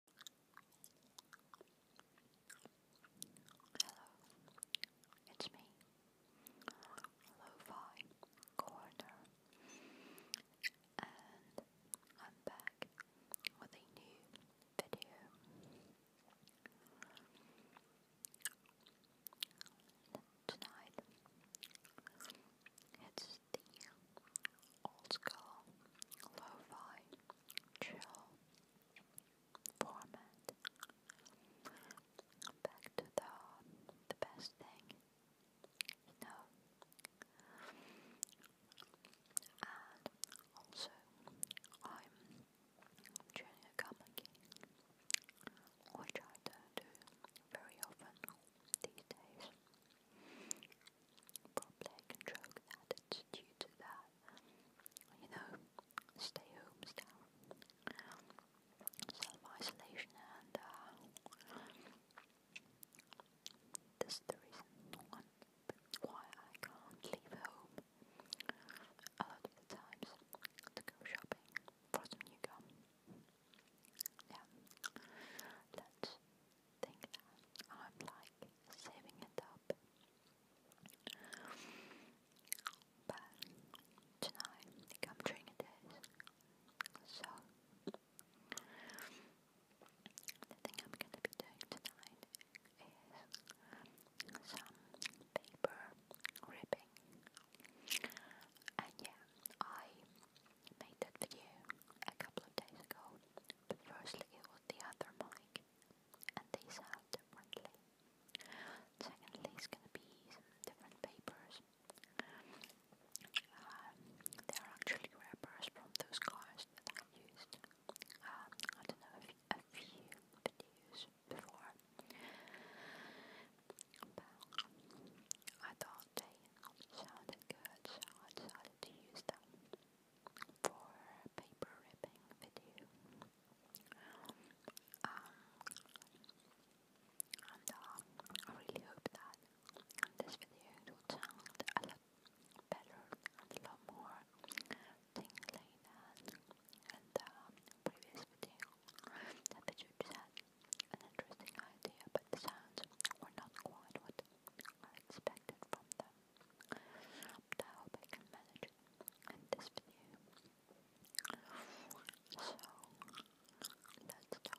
Hello, it's me, lo Corner, and I'm back with a new video. Tonight, it's the old school, lo-fi, chill format. Back to the best thing, you know. And also, I'm doing a comedy, which I don't do very often these days. Probably I can joke that due to that, you know, stay home style, self-isolation and uh, the reason why I can't leave home a lot of the times to go shopping for some new gum. Yeah, let think that I'm like saving it up. But tonight, come drink this. So, thing I'm gonna be doing tonight is some paper ripping. And yeah, I made that video a couple of days ago, firstly it was the other mic, and they sound differently. Secondly, it's going be some different papers. Um, they're actually wrappers from those cars that I used. Um, I don't know, a, a few videos before. I thought shouted good, shout, shouted to use them for paper ripping video. Um, and uh, I really hope that this video will sound a lot better a lot more tingly than the previous video. That video had an interesting idea, but the sounds were not quite what I expected from them, but I hope I can manage it in this video. So, let's start.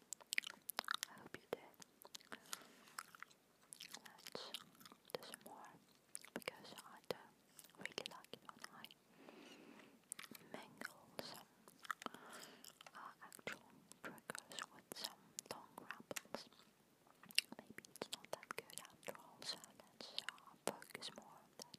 I hope you did. Let's do some more because I really like it when I mingle some uh, actual triggers with some long rambles. Maybe it's not that good after all, so let's uh, focus more on that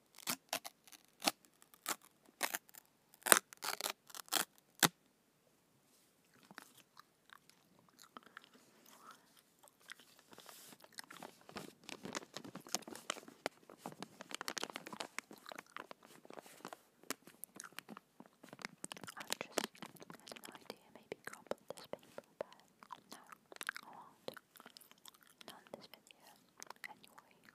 no idea, maybe crumble this paper bag. No, I won't. Not in this video, anyway.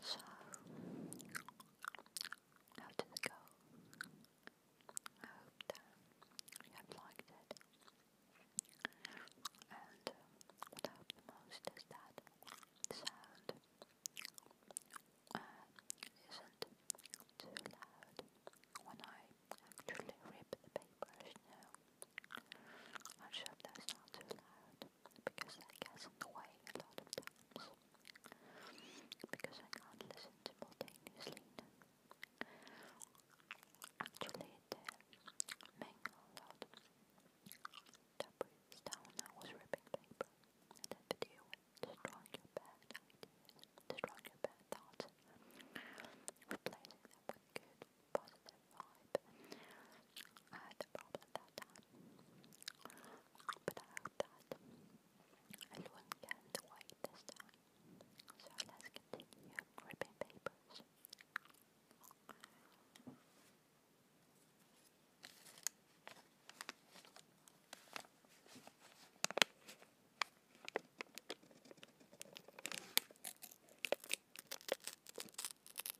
So, how did it go? I hope that you have it. And um, what I hope the that the sound uh, isn't too loud when I actually rip the papers, you know. I that's not too loud because that gets in the way a lot of times. Because I can't listen simultaneously now. Actually, the mangle lot that breathes down I was ripping paper. And video with your bad ideas, your bad thoughts, replacing them with good, positive thought I had a problem that time. But I hope that everyone can wait this time. So let's continue ripping papers.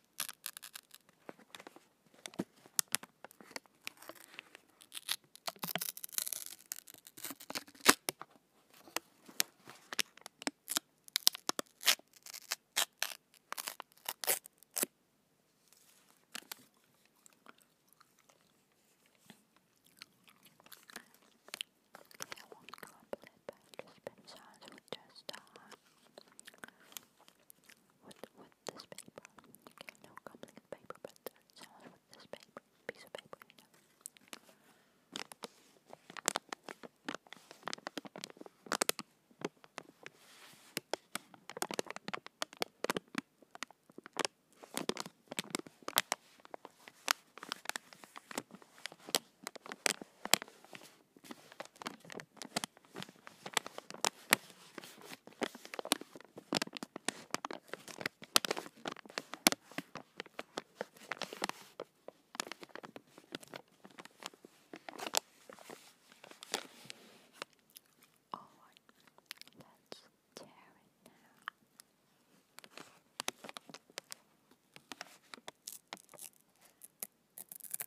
I won't complain about the spin sounds with just a uh, with, with this paper. no complicated paper, but it with this paper, piece of paper, you all oh right, let's tear it now.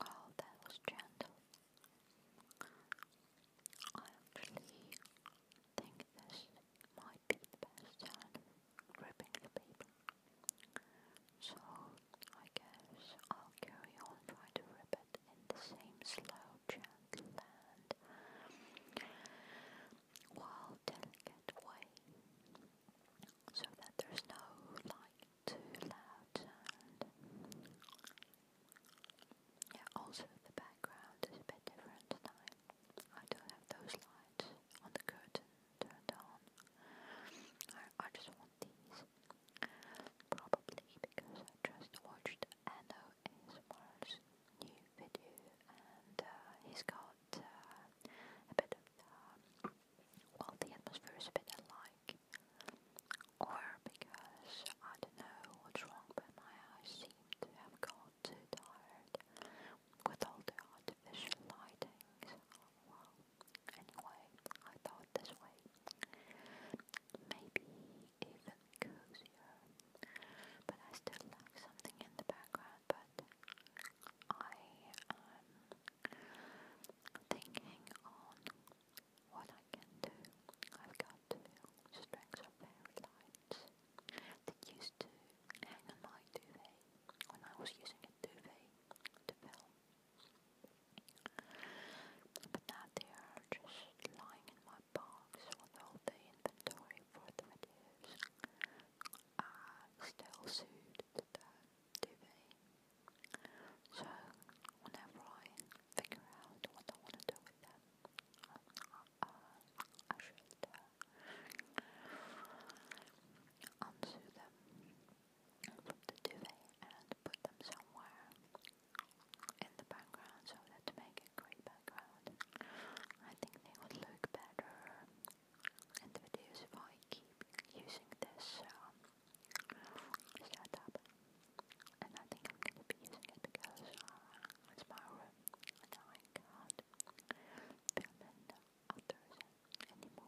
Oh, that was gentle. I actually think this might bit past that, gripping the paper. So I guess I'll carry on trying to rip it in the same slow, gentle land, while delicate way, so that there's no like too loud sound. also the background is a bit different tonight. I do not have those lights on the curtain turned on. I, I just want these. Probably because I just watched Anno ASMR's new video and uh, he's got uh, a bit of the, uh, well the atmosphere is a bit alike. Or because I don't know what's wrong but my eyes seem to have gone too tired with all the artificial lightings. Oh, Anyway, I thought this way. Maybe even cozier. But I still like something in the background, but I am um, thinking on what I can do. I've got two strings of very light that used to hang on my duvet when I was using a duvet to film. But now they are just lying in my box with all the inventory for the videos. I still suit the duvet. So whenever I figure out what I want to do with them, uh, I should unsue them from the duvet and put them somewhere in the background so that to make a great background. I think they would look better in the videos if I keep using this setup. And I think I'm going to be using it because was my room, I can film and others anymore, unfortunately. And in my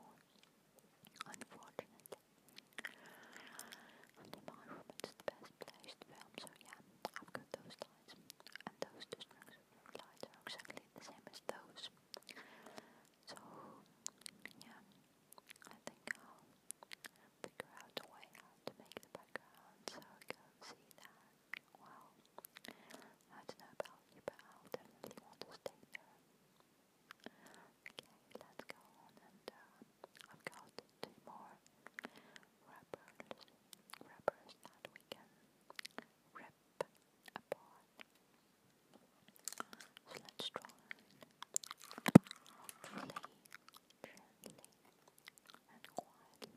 the best place to film, so yeah, I've got those lights, and those two lights exactly the same as those. So, yeah, I think I'll figure out a way to make the background, so go see that. Well, I don't know about you, but i definitely want to stay there. Okay, let's go on uh, I've got two more wrappers, wrappers that we can rip apart. let's try gently, gently and quietly.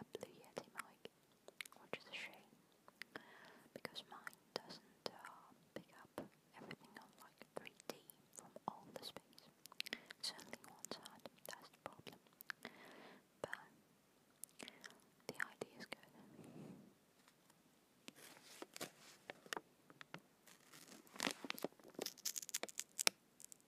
a blue Yeti mic, which is a shame because mine doesn't uh, pick up everything like 3D from all the space. Certainly one side, that's the problem. But the idea is good.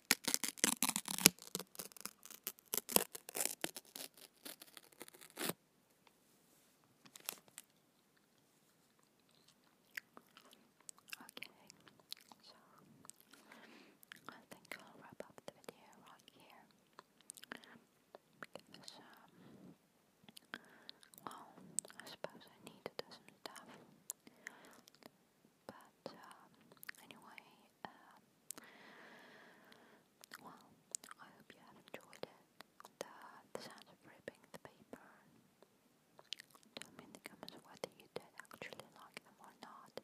Okay, so I think I'll wrap up the video right here because, um, well, I suppose I needed this and stuff. But um, anyway, um, well, I hope you have enjoyed it. The, sound of ripping the paper. Tell me in the comments whether you did actually like them or not.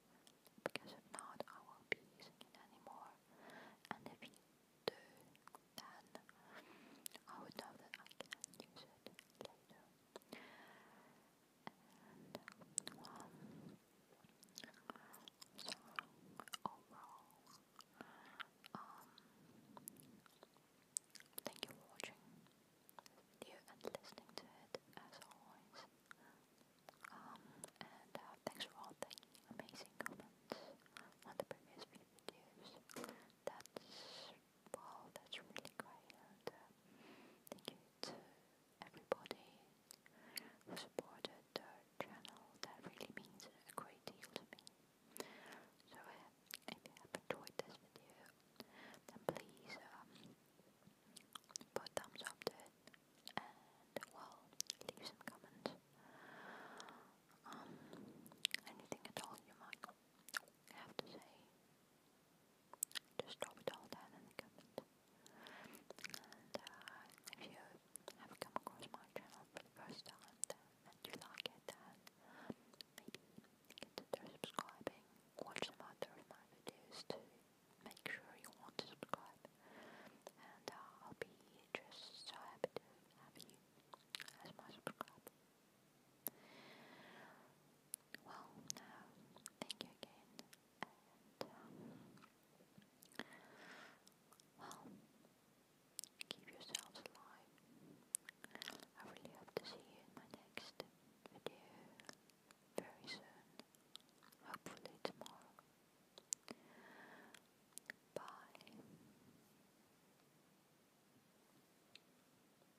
Because if not, I will be using it anymore. And if you do, then I would know that I can use it later and so overall, um, thank you for watching this video and listening to it as always. Um, and uh, thanks for all the amazing comments on the previous few videos. That's Wow, that's really great, uh, thank you to everybody who supported the channel. That really means a great deal to me. So, uh, if you have enjoyed this video, then please um, put thumbs up to it, and well, leave some comments. Um, anything at all you might have to say. Just drop it all down in the comment. And uh, if you have come across my channel for the first time and you like it, then maybe consider subscribing. Watch some other of my videos to make sure you want to subscribe. And uh, I'll be just so happy to have you as my subscriber. Well, uh, thank you again, um, well, keep yourselves alive. I really hope to see you in my next video very soon, hopefully tomorrow. Bye.